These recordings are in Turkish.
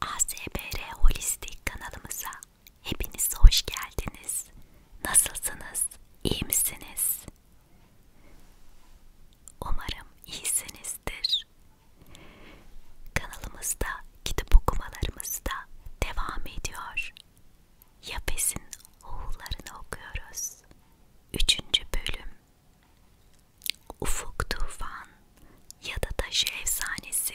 ASBR Holistik kanalımıza hepiniz hoş geldiniz. Nasılsınız? İyi misiniz? Umarım iyisinizdir. Kanalımızda kitap okumalarımız da devam ediyor. Yafes'in oğullarını okuyoruz. Üçüncü bölüm Ufuk Tufan ya da Taşı Efsanesi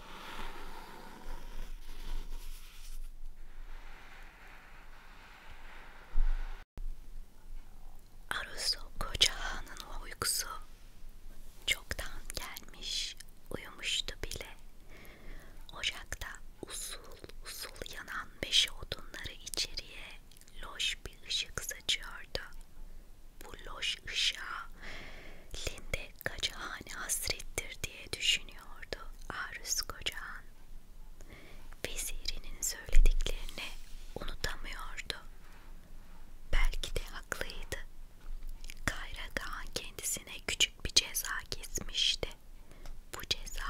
Arusu koca hanın uykusu çoktan gelmiş, uyumuştu bile. Ocakta usul usul yanan beşi odunları içeriye loş bir ışık saçıyordu. Bu loş ışığa Linde kaç hane hasrettir diye düşünüyordu Aruz Kocahan. Vezirinin söylediklerini unutamıyordu. Belki de haklıydı. Kayragahan kendisine küçük bir ceza kesmişti. Bu ceza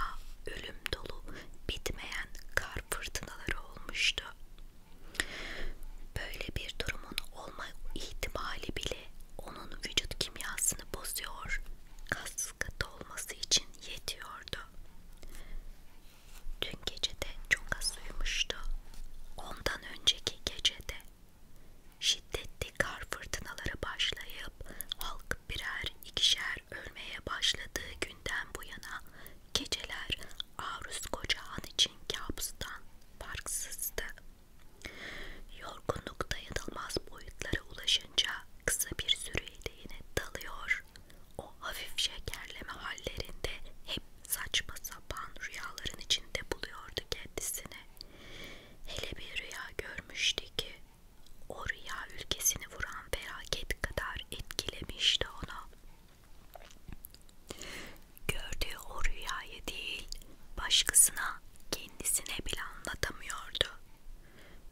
ölüm dolu, bitmeyen kar fırtınaları olmuştu. Böyle bir durumun olma ihtimali bile onun vücut kimyasını bozuyor, kas katı olması için yetiyordu. Dün gecede çok az uyumuştu. Ondan önceki gecede şiddetli kar fırtınaları başlayıp halk birer ikişer ölmeye başladığı günden bu yana geceler Aruz Kocahan için kabustan farksızdı. Yorgunluk dayanılmaz boyutlara ulaşınca kısa bir süreliğine dalıyor. O hafif şekerleme hallerinde hep saçma sapan rüyaların içinde buluyordu kendisini. Hele bir rüya görmüştü ki o rüya ülkesini vuran felaket kadar etkilemişti onu. Gördüğü o rüyayı değil, başkasına kendisine bile anlatamıyordu.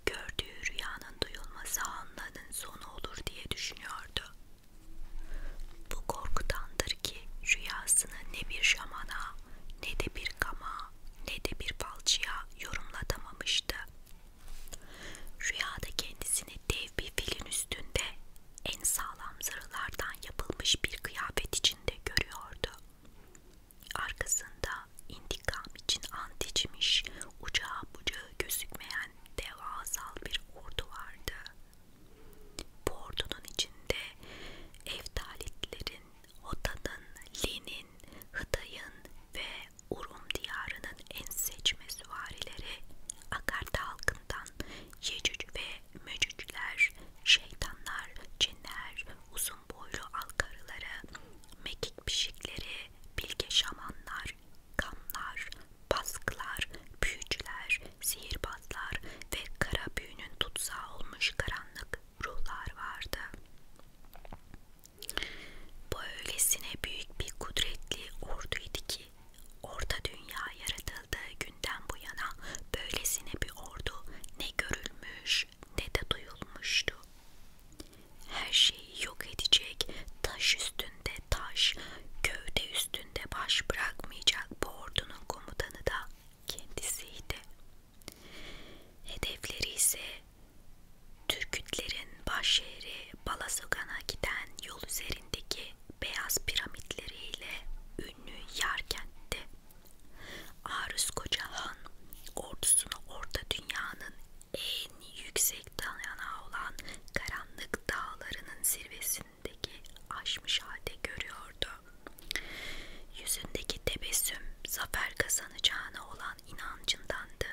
Gördüğü rüyanın duyulması anların sonu olur diye düşünüyordu. Bu korkudandır ki rüyasını ne bir şamana, ne de bir kama, ne de bir balçıya yorumlatamamıştı. Rüyada kendisini dev bir filin üstünde en sağlam zırhlardan yapılmış bir kıyafet içinde görüyordu. Arkasında intikam için ant içmiş, ucağı bucağı gözükmeyen devasal bir ordu vardı. Bu ordunun içinde Eftalitlerin, Hotan'ın, Lin'in, Hıtay'ın ve Urum diyarının en seçme süvarileri Akarta halkından Yecüc ve mücükler, şeytanlar, cinler, uzun boylu alkarıları, mekik pişikleri, bilge şamanlar, kamlar, baskılar, büyücüler, sihirbazlar ve kara büyünün tutsağı olmuş karanlık ruhlar vardı. Böylesine büyük bir kudretli orduydu ki, orta dünya yaratıldığı günden bu yana böylesine bir ordu ne görülmüş görülmüş ne de duyulmuştu. Her şeyi yok edecek, taş üstünde taş, gövde üstünde baş bırakmayacak bu ordunun komutanı da kendisiydi. Hedefleri ise Türkütlerin baş şehri Balazogan'a giden yol üzerindeki beyaz piramitleriyle ünlü Yarkent'ti. Aruz Koca Han ordusunu Orta Dünya'nın en yüksek dayanağı olan karanlık dağlarının zirvesindeki aşmış halde görüyordu. Yüzündeki tebessüm zafer kazanacağına olan inancındandı.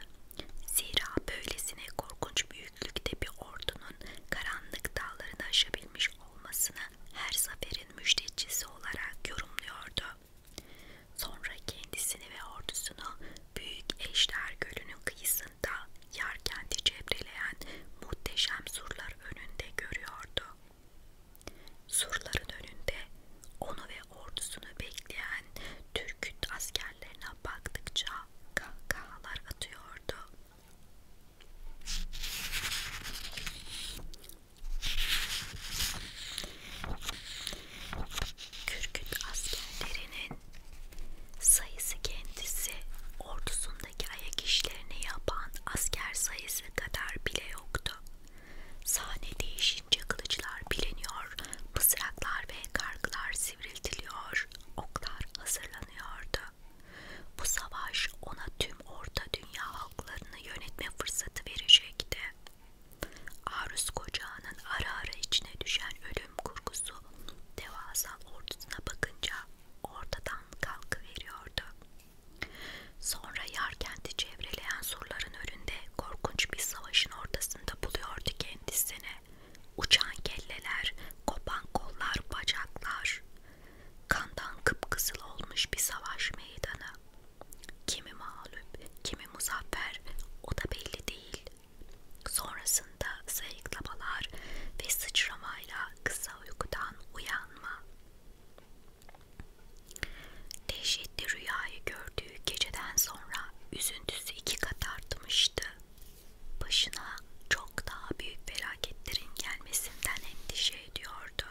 Zira böylesine korkunç büyüklükte bir ordunun karanlık dağlarını aşabilmiş olmasını her zaferin haberin müjdecisi olarak yorumluyordu. Sonra kendisini ve ordusunu Büyük Eşler Gölü'nün kıyısında yarkente cebreleyen muhteşem surlar önünde görüyordu. Surların önünde onu ve ordusunu bekleyen Türküt askerlerine baktıkça kahkahalar atıyordu. Kürküt askerlerinin sayısı kendisi ordusundaki ayak işlerini yapan asker sayısı kadar bile yoktu. Sahne değişince kılıçlar bileniyor, mızraklar ve kargılar sivriltiliyor, oklar hazırlanıyordu. Bu savaş ona tüm orta dünya halklarını yönetme fırsatı verecekti. Arus Kocağı'nın ara ara içine düşen ölüm kurgusu devasa ordusuna bakınca ortadan kalkıveriyordu. Sonra yar kenti çevreleyen surların önünde korkunç bir savaşın ortasında buluyordu kendisini. Uçan kelleler, kopan kollar, bacaklar, kandan kıpkızıl olmuş bir savaş meydanı. Kimi mağlup, kimi muzaffer o da belli değil. Sonrasında sayıklamalar ve sıçramayla kısa uykudan uyanma. Dehşetli rüyayı gördüğü geceden sonra üzüntüsü iki kat artmıştı. Başına çok daha büyük felaketlerin gelmesinden endişe ediyordu.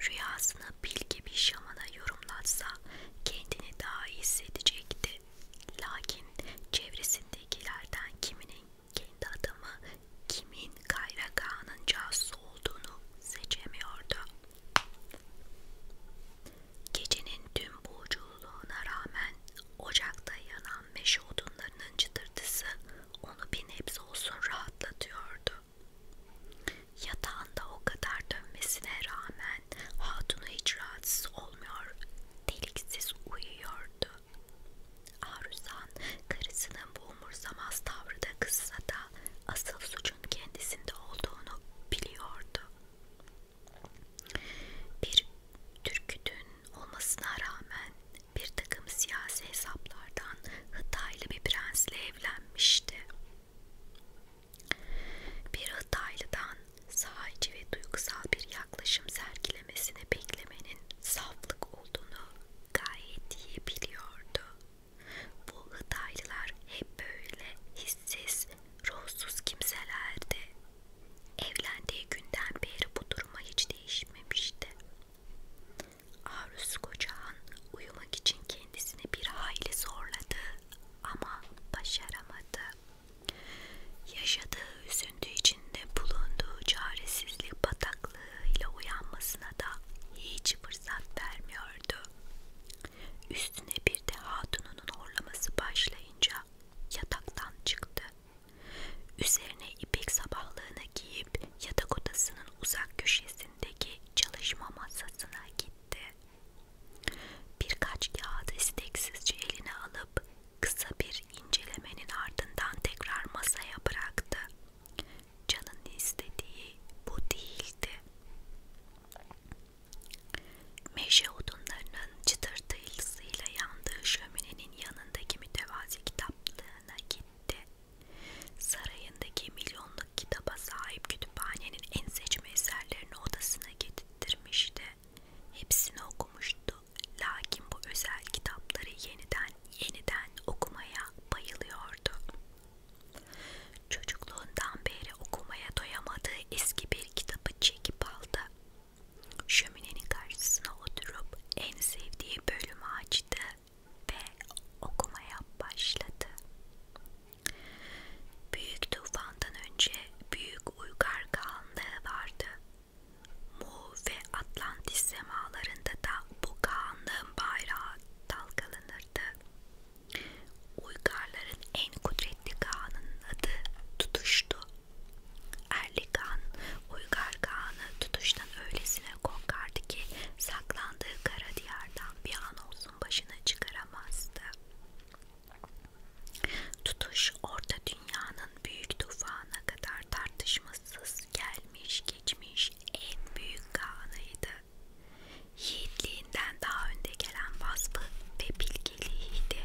Rüyasını bilge bir şamana yorumlatsa kendini daha iyi hissedecekti. Lakin çevresindekilerden kiminin kendi adamı, kimin Kayrak Ağa'nın casusu olduğunu seçemiyordu. Gecenin tüm boğuculuğuna rağmen ocakta yanan meşe odunlarının çıtırtısı onu bir nebze olsun rahatlatıyordu. Yatağında o kadar dönmesine rağmen hatunu hiç rahatsız olmuyor, deliksiz uyuyordu. Aruzan karısının bu umursamaz tavrı da kızsa da asıl suçun kendisinde olduğunu biliyordu. Bir türkütün olmasına rağmen bir takım siyasi hesaplardan Hıtaylı bir prensle evlenmişti. Bir Hataylı'dan sahici ve duygusal bir yaklaşım sergilemesini beklemenin saflık olduğunu gayet iyi biliyordu. Bu Hataylılar hep böyle hissiz, ruhsuz kimselerdi. Evlendiği günden beri bu duruma hiç değişmemişti. Arus Kocahan uyumak için kendisini bir hayli zorladı ama başaramadı. Yaşadığı üzüntü içinde bulunduğu çaresizlik bataklığıyla uyanmasına da hiç fırsat vermiyordu. Üstüne bir de hatununun horlaması başlayınca yataktan çıktı. Üzerine ipek sabahlığını giyip yatak odasının uzak köşesindeki çalışma masasına gitti. Birkaç kağıdı isteksizce eline alıp kısa bir incelemenin ardından tekrar masaya bıraktı. Can'ın istediği bu değildi. Meşe odunlarının çıtırtı ilsiyle yandığı şöminenin yanındaki mütevazi kitaplığına gitti. Sarayındaki milyonluk kitaba sahip kütüphanenin en seçme eserlerini odasına getirtmişti. Hepsini okumuştu. Lakin bu özel kitapları yeniden yeniden okumaya bayılıyordu. Çocukluğundan beri okumaya doyamadığı eski bir kitabı çekip aldı. Şöminenin karşısına oturup en sevdiği bölümü açtı ve okumaya başladı. Büyük tufandan önce büyük uygar kağanlığı vardı. Mu ve Atlantis semalarında da bu kağanlığın bayrağı dalgalanırdı. Uygarların en kudretli kağanın adı Tutuş'tu. Erlikan, Uygar Kağan'ı tutuştan öylesine korkardı ki saklandığı kara diyardan bir an olsun başı başına çıkaramazdı. Tutuş orta dünyanın büyük tufağına kadar tartışmasız gelmiş geçmiş en büyük kağanıydı. Yiğitliğinden daha önde gelen vasfı ve bilgeliğiydi.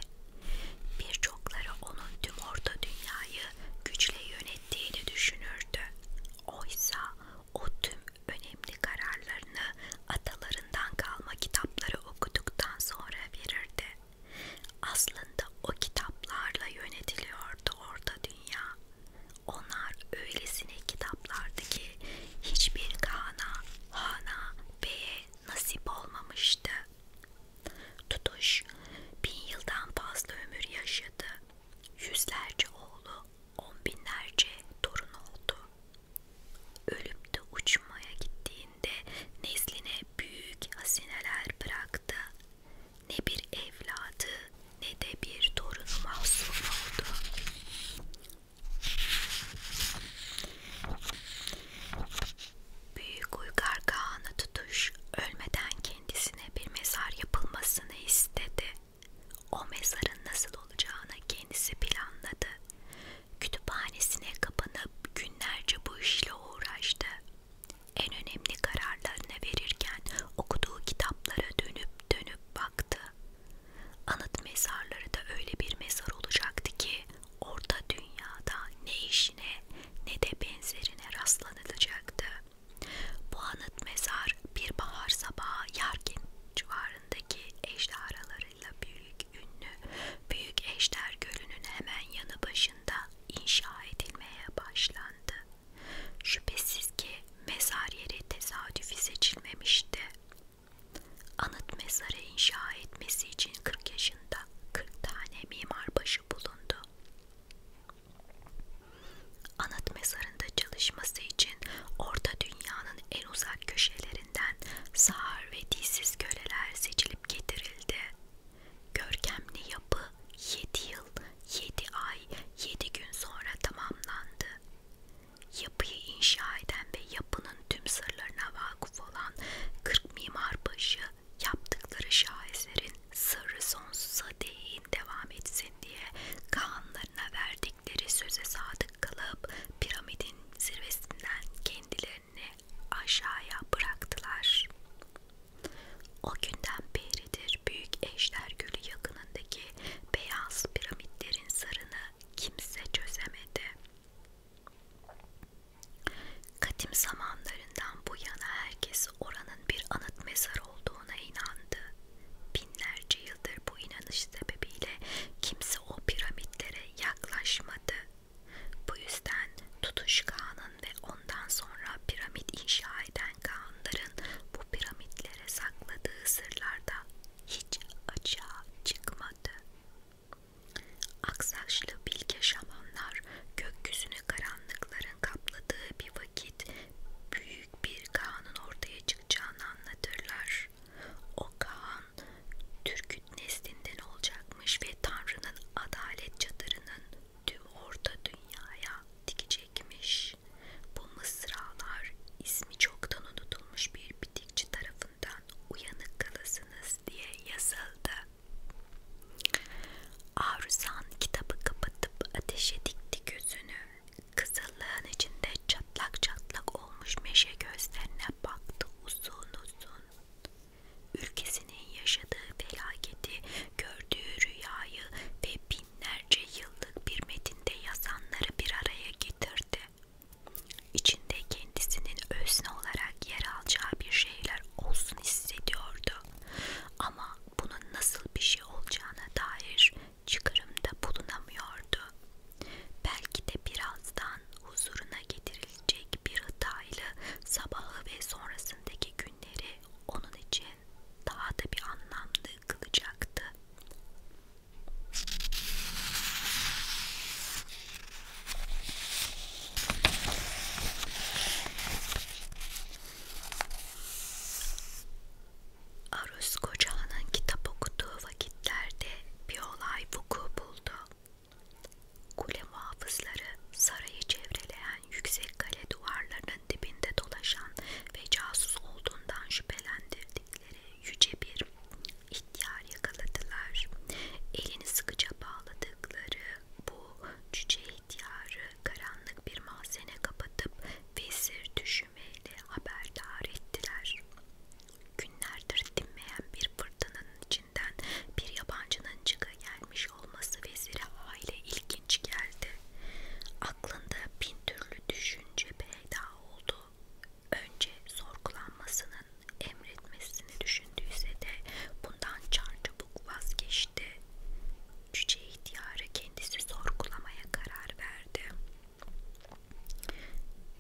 Birçokları onun tüm orta dünyayı güçle yönettiğini düşünürdü. Oysa o tüm önemli kararlarını atalarından kalma kitapları okuduktan sonra verirdi. Aslında o kitaplarla yönetiliyordu orta dünya. Onlar öylesine kitaplardı ki hiçbir kana, hana, beye nasip olmamıştı. Tutuş bin yıldan fazla ömür yaşadı. Yüzlerce oğlu, on binlerce torun oldu. Ölüp de uçmaya gittiğinde nesline büyük hazineler bıraktı. Ne bir evladı ne de bir torunu mahzun oldu. Büyük Uygar Kağan'a tutuş ölmeden kendisine bir mezar yapılmasını istedi. O mezarın nasıl olacağını kendisi planladı. Kütüphanesine kapanıp günlerce bu işle uğraştı. En önemli kararlarını verirken okuduğu kitaplara dönüp dönüp baktı. Anıt mezarları da öyle bir mezar olacaktı ki orta dünyada ne işine ne de benzerine rastlanılacaktı. Bu anıt mezar bir bahar sabahı Yargin civarında kıyılarındaki ejderhalarıyla büyük ünlü Büyük Ejder Gölü'nün hemen yanı başında inşa edilmeye başlandı. Şüphesiz ki mezar yeri tesadüfi seçilmemişti. Anıt mezarı inşa etmesi için 40 yaşında 40 tane mimarbaşı bulundu. Anıt mezarında çalışması için orta dünyanın en uzak köşelerinden sağır ve dilsiz köleler seçilip getirildi. Görkemli yapı 7 yıl, 7 ay, 7 gün sonra tamamlandı. Yapıyı inşa eden ve yapının tüm sırlarına vakıf olan 40 mimarbaşı yaptıkları şaheserin sırrı sonsuza değin devam etsin diye kanlarına verdikleri söze sadık sadık kalıp piramidin zirvesinden kendilerini aşağıya bıraktılar. O günden beridir büyük eşler gölü yakınındaki beyaz piramitlerin sırrını kimse çözemedi. Kadim zamanlarından bu yana herkes oranın bir anıt mezar olduğuna inandı. Binlerce yıldır bu inanış sebebiyle kimse o piramitlere yaklaşmadı. Bu yüzden Tutuş Kağan'ın ve ondan sonra piramit inşa eden Kağanların bu piramitlere sakladığı sırlarda hiç açığa çıkmadı. Aksaçlı bilge şamanlar gökyüzünü karanlıkların kapladığı bir vakit büyük bir Kağan'ın ortaya çıkacağını anlatırlar olmuş. O Kaan Türk'ün neslinden olacakmış ve Tanrı'nın adalet çadırının tüm orta dünyaya dikecekmiş. Bu mısralar ismi çoktan unutulmuş bir bitikçi tarafından uyanık kalasınız diye yazıldı. Arusan kitabı kapatıp ateşe dikti gözünü. Kızıllığın içinde çatlak çatlak olmuş meşe gözlerine baktı uzun uzun. Ülkesinin yaşadığı felaketi, gördüğü rüyayı ve binlerce yıllık bir metinde yazanları bir araya getirdi. İçinde kendisinin özne olarak yer alacağı bir şeyler olsun hissediyordu. Ama bunun nasıl bir şey olacağına dair çıkarımda bulunamıyordu. Belki de birazdan huzuruna getirilecek bir hıtaylı sabahı ve sonrasındaki günleri onun için daha da bir anlamlı kılacaktı. Aruz Koca'nın kitap okuduğu vakitlerde bir olay vuku buldu. Kule muhafızları sarayı çevreleyen yüksek kale duvarlarının dibinde dolaşan ve casus olduğundan şüphelendirdikleri yüce bir ihtiyar yakaladılar. Elini sıkıca bağladıkları bu cüce ihtiyarı karanlık bir mahzene kapatıp vezir düşümeyle haberdar ettiler. Günlerdir dinmeyen bir fırtınanın içinden bir yabancının çıka gelmiş olması vezire aile ilginç geldi. Aklında bin türlü düşünce peyda oldu. Önce sorgulanmasının emretmesini düşündüyse de bundan çarçabuk vazgeçti. Cüce ihtiyarı kendisi sorgulamaya karar verdi.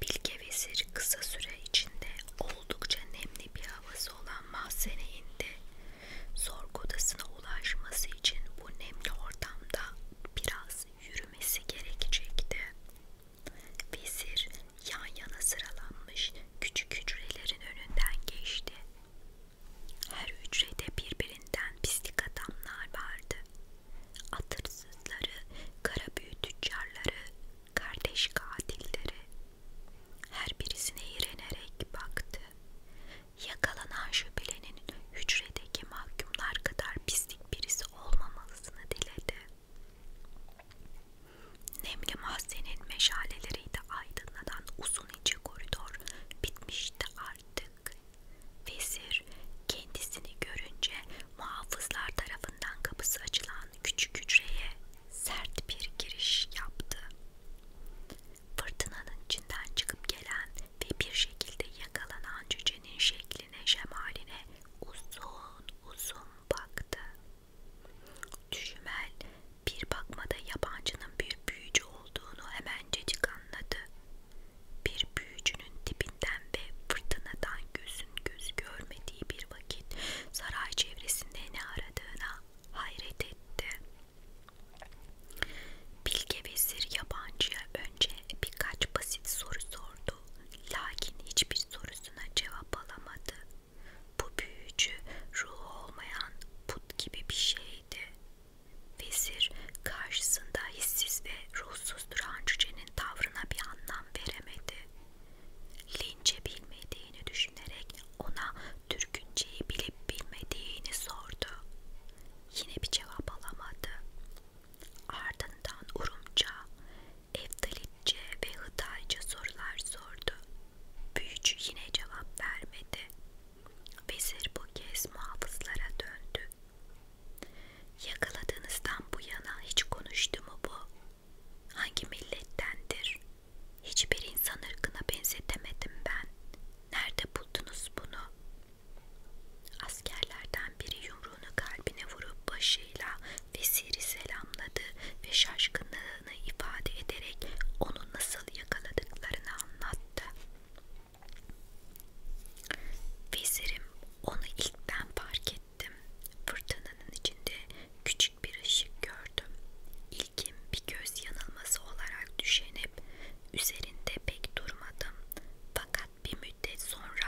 Bilge Vezir kısa süre içinde oldukça nemli bir havası olan mahzeneyin de sorgu odasına ulaşması için bu nemli ortamda biraz yürümesi gerekecekti. Vezir yan yana sıralanmış küçük hücrelerin önünden geçti. Her hücrede birbirinden pislik adamlar vardı atırsızları, kara büyü tüccarları, kardeş katilleri. Her birisine iğrenerek baktı. Yakalanan şüphelinin hücredeki mahkumlar kadar pislik birisi olmamalısını diledi. Nemli mahzenin meşaleleriyle aydınlanan uzun ince koridor bitmişti artık. Vezir kendisini görünce muhafızlar tarafından kapısı açılan küçük hücreye sert bir giriş yaptı. Fırtınanın içinden çıkıp gelen ve bir şekilde yakalanan cücenin şekline, şemaline uzun uzun baktı. Düşümel bir bakmada yabancının bir büyücü olduğunu hemencecik anladı. Bir büyücünün tipinden ve fırtınadan gözü gözün göz görmediği bir vakit saray çevresinde ne aradığına hayret etti. Bilge vezir yabancıya önce birkaç basit soru sordu. Lakin hiçbir sorusuna cevap alamadı. Bu büyücü ruh olmayan put gibi bir şeydi. Vezir karşısında hissiz ve ruhsuz duran cücenin tavrına bir anlam anlam veremedi. Lince bilmediğini düşünerek ona Türkünceyi bilip bilmediğini sordu. Yine bir cevap alamadı. Ardından Urumca, Eftalitçe ve Hıtayca sorular sordu. Büyücü yine cevap vermedi. Vezir bu kez muhafızlara döndü. Yakaladığınızdan bu yana hiç konuştu mu bu? Hangi millettendir? Hiçbir insan ırkına benzetemedim ben. Nerede buldunuz bunu? Askerlerden biri yumruğunu kalbine vurup başıyla vesiri selamladı ve şaşkınlığını ifade ederek onu nasıl yakaladıklarını anlattı. Vezirim onu ilk ben fark ettim ettim. Fırtınanın içinde küçük bir ışık gördüm. İlkim bir göz yanılması olarak düşünüp üzerinde pek durmadım. Fakat bir müddet sonra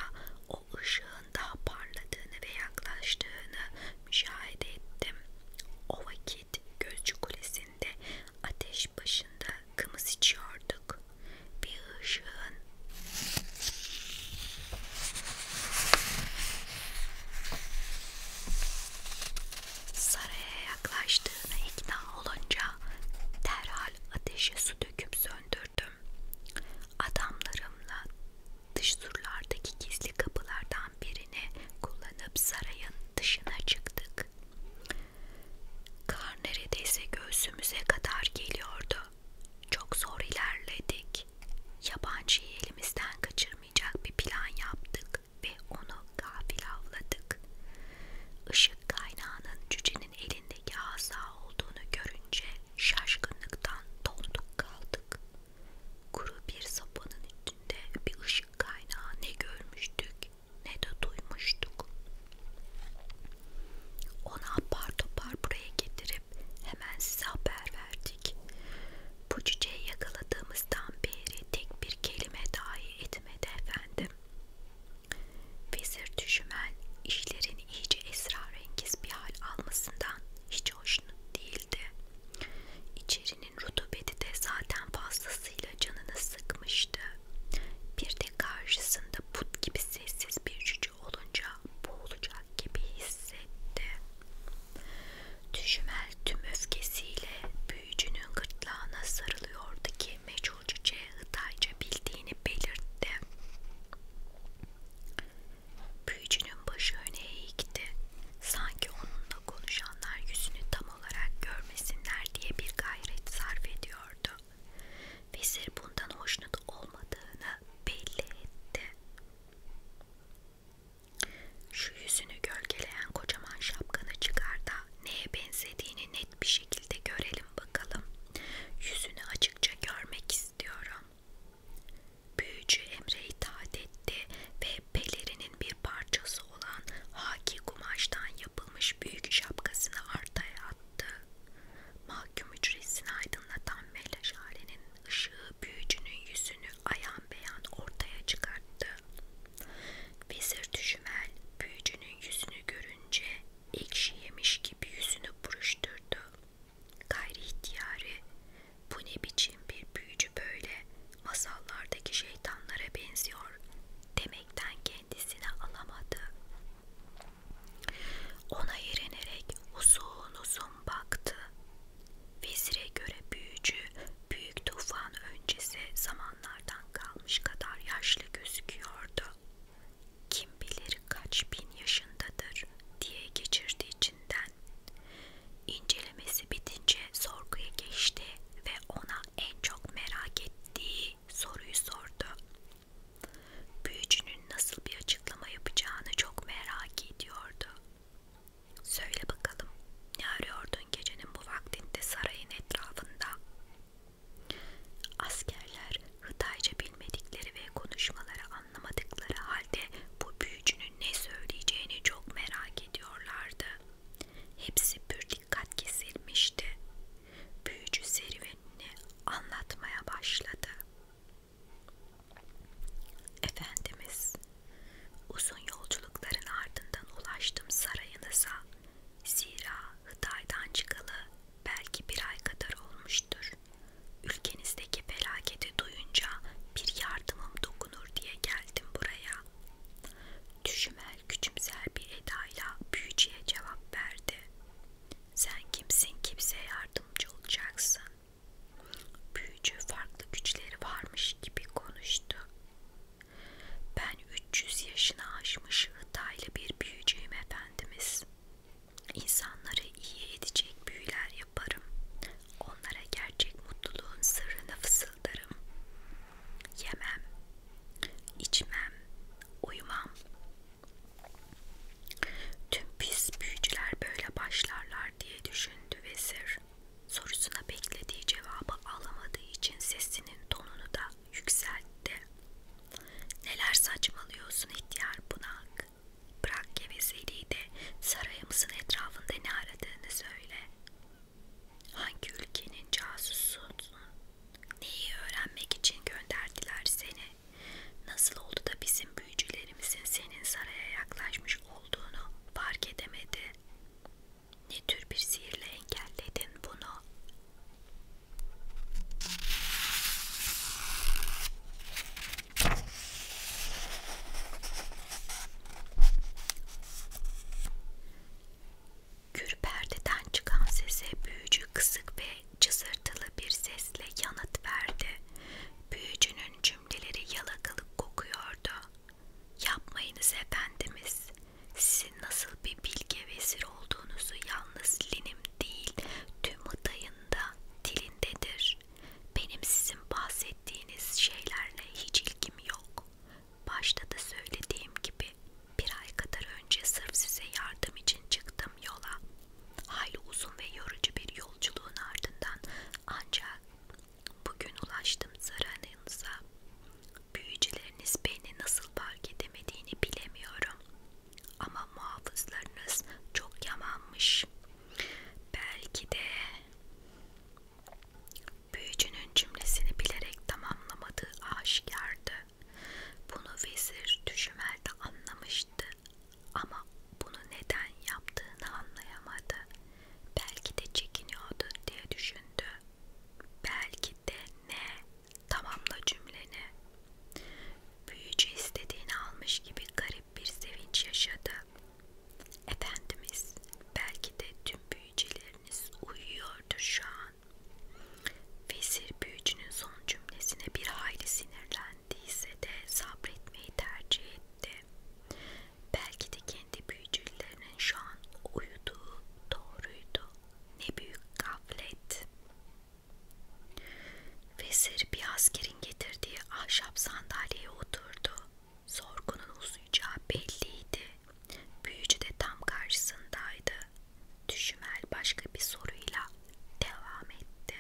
o ışığın daha parladığını ve yaklaştığını müşahede ettim. O vakit Gözcü Kulesi'nde ateş başında kımız içiyorduk. Bir ışığın Saraya yaklaştığına ikna olunca derhal ateşe su döküp söndürdüm. Adamlarımla dış surlardaki gizli kapılardan birini kullanıp sarayın dışına çıktık. Kar neredeyse göğsümüze kadar geliyordu çok zor ilerledik. Yabancıyı elimizden kaçırmayacak bir plan yaptık ve onu gafil avladık. Işık kaynağının cücenin elindeki asa olduğunu görünce şaşkınlıktan donduk kaldık. Kuru bir sopanın üstünde bir ışık kaynağı ne görmüştük ne de duymuştuk. Onu apar topar buraya getirin verip hemen size haber verdik. Bu cüceyi yakaladığımızdan beri tek bir kelime dahi etmedi efendim. Vezir düşümen işlerin iyice esrarengiz bir hal almasından hiç hoşnut değildi. İçerinin rutubeti de zaten fazlasıyla canını sıkmıştı. Bir de karşısında put gibi sessiz bir gücü olunca boğulacak gibi hissetti. Düşümel tüm öfkesiyle büyücünün gırtlağına sarılıyordu ki meçhul cüce Hıtayca bildiğini belirtti. Büyücünün başı öne eğikti. Sanki onunla konuşanlar yüzünü tam olarak görmesinler diye bir gayret sarf ediyordu. Vezir bundan hoşnut olmadığını belli etti. Şu yüzünü gölgeleyen kocaman şapkanı çıkar da neye benzediğini net bir şekilde görelim bakalım. Yüzünü açıkça görmek istiyorum. Büyücü Emre itaat etti ve pelerinin bir parçası olan haki kumaştan yapılmış büyük şapkasını arkaya attı. Mahkum hücresini aydınlatan ve meşalenin ışığı büyücünün yüzünü ayan beyan ortaya çıkarttı. Vezir Düşümel büyücünün yüzünü görünce ekşi yemiş gibi yüzünü buruşturdu. Gayri ihtiyari bu ne biçim bir büyücü böyle masallardaki şeytanlara benziyor demekten kendisine alamadı. Ona yerenerek uzun uzun baktı. Vezire göre büyücü büyük tufan öncesi zamanlardan kalmış kadar yaşlı gözüküyordu. Kim bilir kaç bin yaşındadır diye geçirdi içinden. İncelemesi bitince sorguya geçti ve ona en çok merak ettiği soruyu sordu büyücünün nasıl bir açıklama yapacağını çok merak ediyordu. Söyle bakalım, ne arıyordun gecenin bu vaktinde sarayın etrafında? Askerler Hıtayca bilmedikleri ve konuşmaları anlamadıkları halde bu büyücünün ne söyleyeceğini çok merak ediyorlardı. Hepsi pür dikkat kesilmişti. Büyücü serüvenini anlatmaya başladı. Efendimiz, uzun yolculukların ardından ulaştım sarayınıza. Zira Hıday'dan çıkalı belki bir ay kadar olmuştur. Ülkenizdeki felaketi duyunca bir yardımım dokunur diye geldim buraya. Düşümel küçümser bir edayla büyücüye cevap verdi. Sen kimsin kimseye yardımcı olacaksın. Büyücü farklı güçleri varmış gibi konuştu. Ben 300 yaşına aşmış hıtaylı bir büyücüyüm efendimiz. İnsanları iyi edecek büyüler yaparım. Onlara gerçek mutluluğun sırrını fısıldarım. Yemem, içmem, uyumam. Tüm pis büyücüler böyle başlarlar diye düşündü vezir. Sorusuna beklediği cevabı alamadığı için sesinin tonunu da yükseltti. Neler saçmalıyorsun ihtiyar bunak. Bırak gevezeliği de sarayımızın etrafında ne aradığını söyle. Hangi ülkenin casusun? Neyi öğrenmek için gönderdiler seni? Nasıl oldu da bizim büyücülerimizin senin saraya yaklaşmış olduğunu fark edemedi? Ne tür bir sihirle engelledin bunu? Gür perdeden çıkan sese büyücü kısık ve cızırtılı bir sesle yanıt verdi. Büyücünün cümleleri yalakalık kokuyordu. Yapmayınız efendimiz. Sizin nasıl bir bilge vezir olduğunuzu yalnız linim değil, tüm adayında, dilindedir. Benim sizin bahsettiğiniz şeylerle hiç ilgim yok. Başta da söylediğim gibi bir ay kadar önce sırf size yardım için çıktım yola. Hayli uzun ve yorucu bir yolculuğun ardından ancak bugün ulaştım Saran'ınıza. Büyücüleriniz beni nasıl fark edemediğini bilemiyorum. Ama muhafızlarınız çok yamanmış. Belki de büyücünün cümlesini bilerek tamamlamadığı aşikardı. Bunu vezir düşümelde anlamıştı ama bunu neden yaptığını anlayamadı. Belki de çekiniyordu diye düşündü. Belki de ne? Tamamla cümleni. Büyücü istediğini almış gibi garip bir sevinç yaşadı. Efendimiz, belki de tüm büyücüleriniz uyuyordur şu an. Vezir büyücünün son cümlesine bir hayli sinirlendiyse de sabretmeyi tercih etti. Belki de kendi büyücülerinin şu an uyuduğu doğruydu. Ne büyük gaflet. Vezir bir askerin getirdiği ahşap sandalyeye oturdu. Sorgunun uzayacağı belliydi. Büyücü de tam karşısındaydı. Düşümel başka bir soruyla devam etti.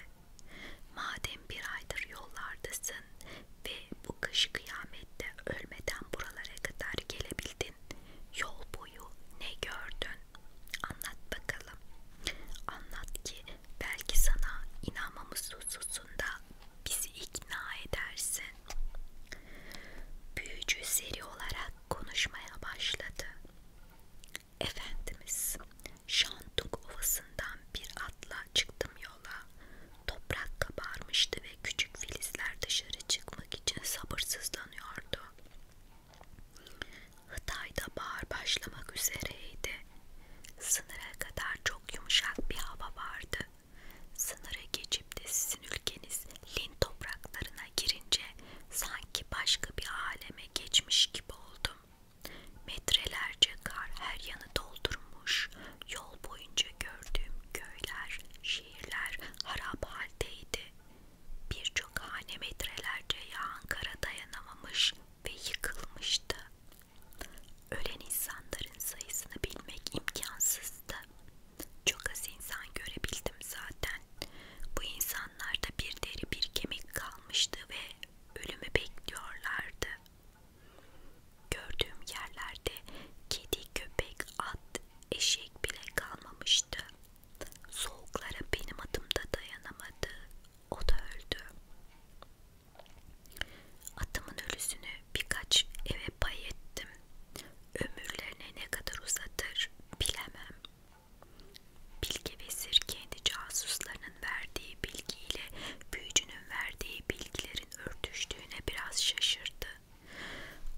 Madem bir aydır yollardasın ve bu kış kıyamette ölmeden buralara kadar gelebildin, yol boyu ne gördün? Anlat bakalım. Anlat ki belki sana inanmamız hususunda bizi ikna edersin. Büyücü seri olarak konuşmaya başladı. Efendimiz, Şantuk Ovası'ndan bir atla çıktım yola. Toprak kabarmıştı ve küçük filizler dışarı çıkmak için sabırsızlanıyordu. Hıtay'da bahar başlamak üzereydi. Sınıra kadar çok yumuşak bir hava vardı. Sınıra geçip de sizin ülkeniz Lin topraklarına girince sanki başka bir aleme geçmiş gibi oldum. Metrelerce kar her yanı doldurmuş. Yol boyunca gördüğüm köyler, şehirler harap haldeydi. Birçok hane metrelerce yağan kara dayanamamış ve yıkılmıştı. Ölen insanların sayısını bilmek imkansızdı. Çok az insan görebildim zaten. Bu insanlarda bir deri bir kemik kalmıştı ve ölümü bekliyorlardı. Gördüğüm yerlerde kedi, köpek, at, eşek bile kalmamıştı. Soğuklara benim adım da dayanamadı. O da öldü. Atımın ölüsünü birkaç eve pay ettim. Ömürlerine ne kadar uzatır bilemem. Bilge ve Sir kendi casuslarının verdiği bilgiyle büyücünün verdiği bilgilerin örtüştüğüne biraz şaşırdı.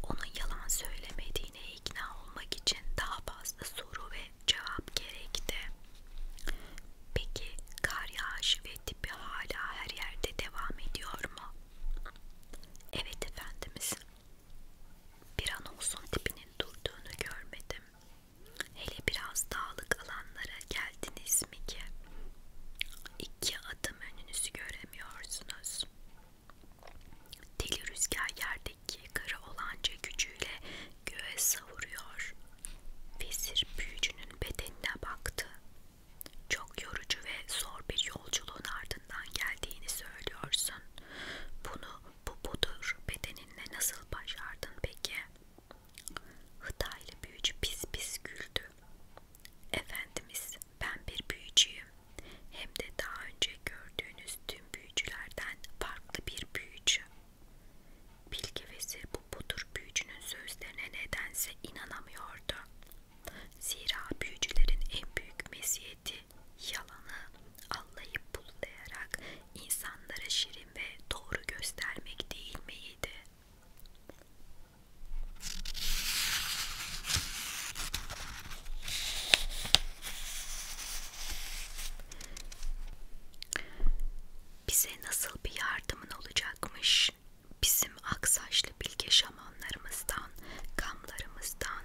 Onun yalan söylemediğine ikna olmak için daha fazla soru ve cevap gerekti. Peki kar yağışı ve tipi hala her yerde devam ediyor mu? Evet efendimiz. Bir an olsun tipinin durduğunu görmedim. Hele biraz dağlık alanlara geldiniz mi ki iki adım önünüzü göremiyorsunuz. Deli rüzgar yerdeki kara olanca gücüyle göğe savuruyor. Vezir büyücünün bedenine baktı. Çok yorucu ve zor bir yolculuğun ardından geldiğini söylüyorsun. Bunu bu budur bedeninle nasıl başardın peki? Hıdaylı büyücü pis pis güldü. Efendimiz ben bir büyücüyüm. Hem de daha önce gördüğünüz tüm büyücülerden farklı bir büyücü. Bilge vezir bu budur büyücünün sözlerine nedense inanamıyordu. Zira büyücülerin en büyük meziyeti yalanı allayıp bullayarak insanlara şirin ve doğru göstermek değil miydi? Bize nasıl bir yardımın olacakmış? Bizim aksaçlı bilge şamanlarımızdan, kamlarımızdan,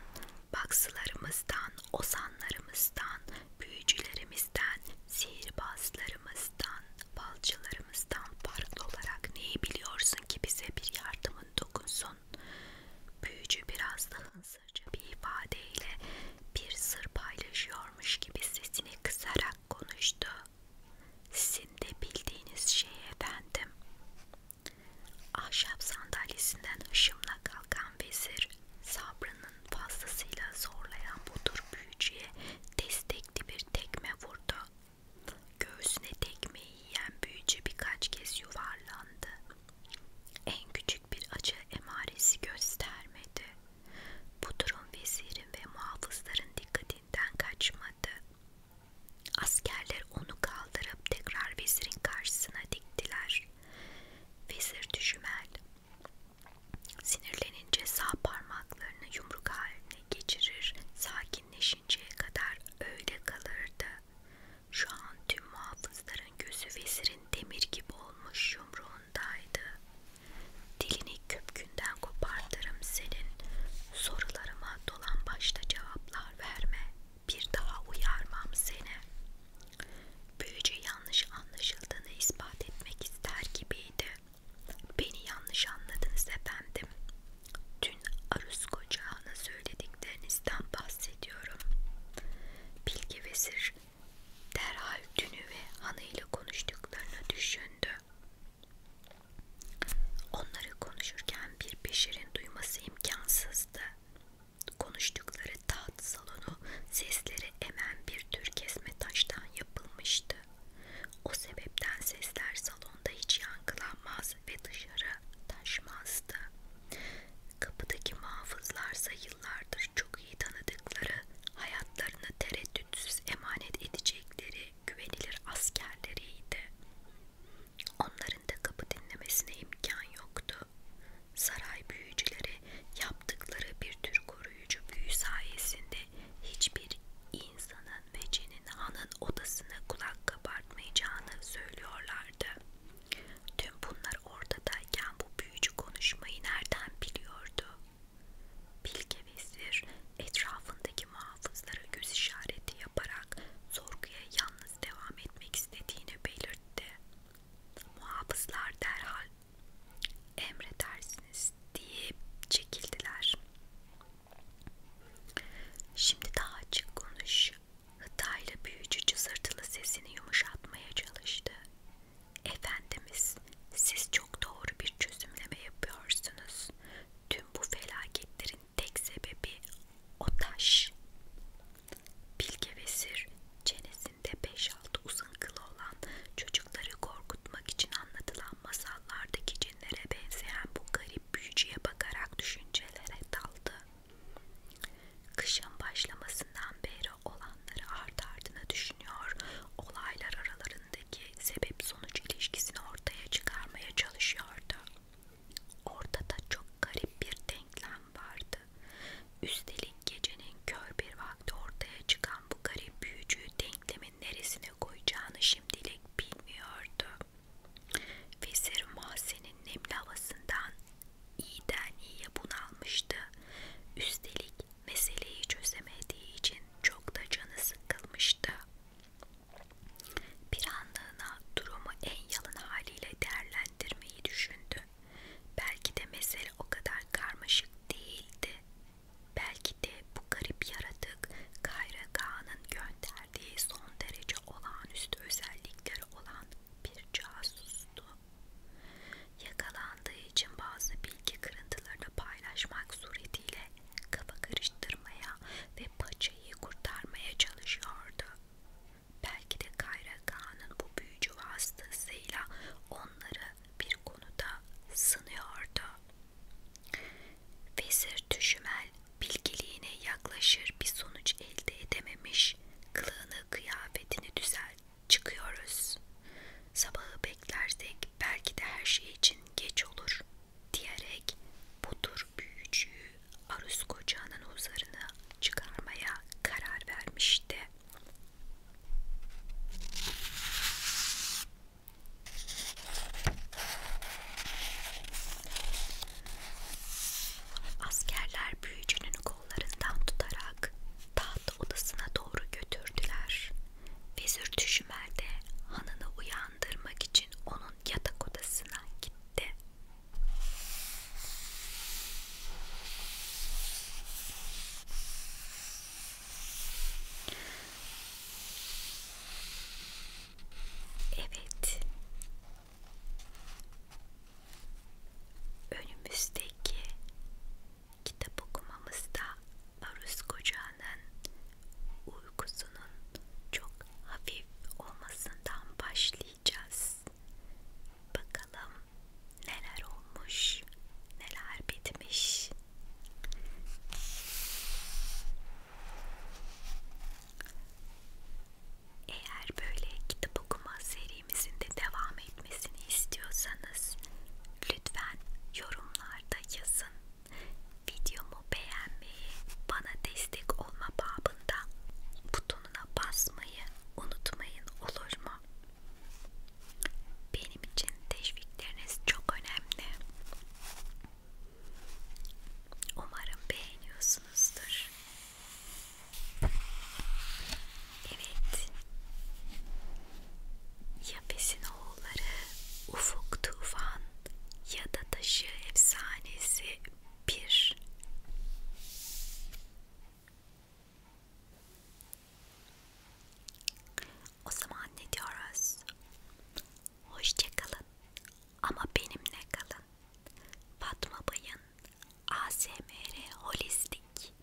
baksılarımızdan, ozanlarımızdan, büyücülerimizden, sihirbazlarımızdan, balcılarımızdan yaptıklarımızdan farklı olarak neyi biliyorsun ki bize bir yardımın dokunsun? Büyücü biraz da hınsırca bir ifadeyle bir sır paylaşıyormuş gibi sesini kısarak konuştu. Sizin de bildiğiniz şey efendim. Ahşap sandalyesinden hışımla kalkan vezir, sabrının fazlasıyla zorlayan bu tür büyücüye destekli bir bir tekme vurdu. Göğsüne tekmeyi yiyen büyücü birkaç kez yuvarlandı. En küçük bir acı emaresi göstermedi. Bu durum vezirin ve muhafızların dikkatinden kaçmadı. Askerler onu kaldırıp tekrar vezirin karşısına diktiler. Vezir düşmel. Sinirlenince sağ parmaklarını yumruk haline geçirir, sakinleşinceye kadar öyle kalırdı. Şu an tüm muhafızların gözü vezirin demir gibi olmuş yumruğundaydı. Dilini köpkünden kopartırım senin, sorularıma dolan başta cevaplar verme, bir daha uyarmam seni. Büyücü yanlış anlaşıldığını ispat etmek ister gibiydi. Beni yanlış anladınız efendim. Dün Arus Kocağan'a söylediklerinizden bahsediyorum. Bilge Vezir derhal dünü ve hanıyla konuştuklarını düşündü. Onları konuşurken bir beşerin duyması imkansızdı. Konuştukları taht salonu sesleri emen bir tür kesme taştan yapılmıştı. O sebepten sesler salonda hiç yankılanmaz ve dışarı taşmazdı. Kapıdaki muhafızlarsa yıllardır çok iyi tanıdıkları, hayatlarını tereddütsüz emanet edecekleri güvenilir askerleriydi. Onların da kapı dinlemesine imkan yoktu. Saray büyücüleri yaptıkları bir tür koruyucu büyü sayesinde hiçbir insanın ve cin Hüsnü'nün hanın odasını kulak kabartmayacağını söylüyorlardı. Tüm bunlar ortadayken bu büyücü konuşmayı nereden biliyordu? Bilge Vezir etrafındaki muhafızlara göz işareti yaparak sorguya yalnız devam etmek istediğini belirtti. Muhafızlar derhal emredersiniz deyip çekildiler. Şimdi daha açık konuş. Hıtayla büyücü cızırtılı sesini yumuşatmaya çalıştı. Efendimiz, siz çok doğru bir çözümleme yapıyorsunuz. Tüm bu felaketlerin tek sebebi o taş. Bilge Vesir, çenesinde 5-6 uzun kılı olan çocukları korkutmak için anlatılan anlatılan masallardaki cinlere benzeyen bu garip büyücüye bakarak düşüncelere daldı. Kışın başlamasından beri olanları art ardına düşünüyor, olaylar aralarındaki sebep sonuç ilişkisini ortaya çıkarmaya çalışıyordu. Ortada çok garip bir denklem vardı. Üstelik gecenin kör bir vakti ortaya çıkan bu garip büyücü denklemin neresine koyacağını şimdilik bir bilmiyordu. Vezir Mahzen'in nemli havasından iyiden iyiye bunalmıştı. Üstelik meseleyi çözemediği için çok da canı sıkılmıştı. Bir anlığına durumu en yalın haliyle değerlendirmeyi düşündü. Belki de mesele o kadar karmaşık değildi Belki de bu garip yaratık Kayra Kağan'ın gönderdiği son derece olağanüstü özellikleri olan bir casustu. Yakalandığı için bazı bilgi kırıntılarını paylaşmak suretiyle kafa karıştırmaya ve paçayı kurtarmaya çalışıyordu. Belki de Kayra Kağan'ın bu büyücü vasıtasıyla onları bir konuda sınıyordu. Vezir Düşümel bilgeliğine yaklaşır bir sonuç elde edememiş kılığını kıyafetini düzelt çıkıyoruz. Sabahı beklersek belki de her şey için geç olur diyerek bu tür büyücüyü Arus kocağının huzarına çıkarmaya karar vermişti. Askerler büyücünün kollarından tutarak taht odasına doğru götürdüler. Vezir Düşümel de hanını uyandırmak için onun yatak odasına gitti. Evet. Önümüzdeki kitap okumamızda Aruz Koca'nın uykusunun çok hafif olmasından başlayacağız. Bakalım neler olmuş, neler bitmiş. Eğer böyle kitap okuma serimizin de devam etmesini istiyorsanız lütfen yorumlarda yazın. Videomu beğenmeyi, bana destek olma babında butonuna basmayı unutmayın olur mu? Benim için teşvikleriniz çok önemli. Umarım beğeniyorsunuzdur. Evet. Yapesin oğulları, Ufuk Tufan ya da Taşı Efsanesi 1. O zaman ne diyoruz? Hoşçakalın. Ama benimle kalın. Fatma Bay'ın ASMR Holistik.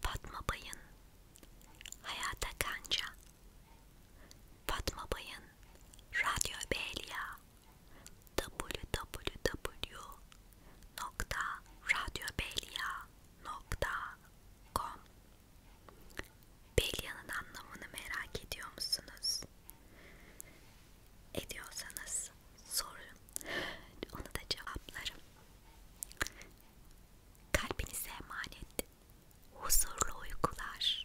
Fatma Bay'ın Hayata Kanca. Fatma Bay'ın Radyo Belya. www.radyobelya.com Belya'nın anlamını merak ediyor musunuz? Ediyorsanız sorun. Onu da cevaplarım. Kalbinize emanet. Huzurlu uykular.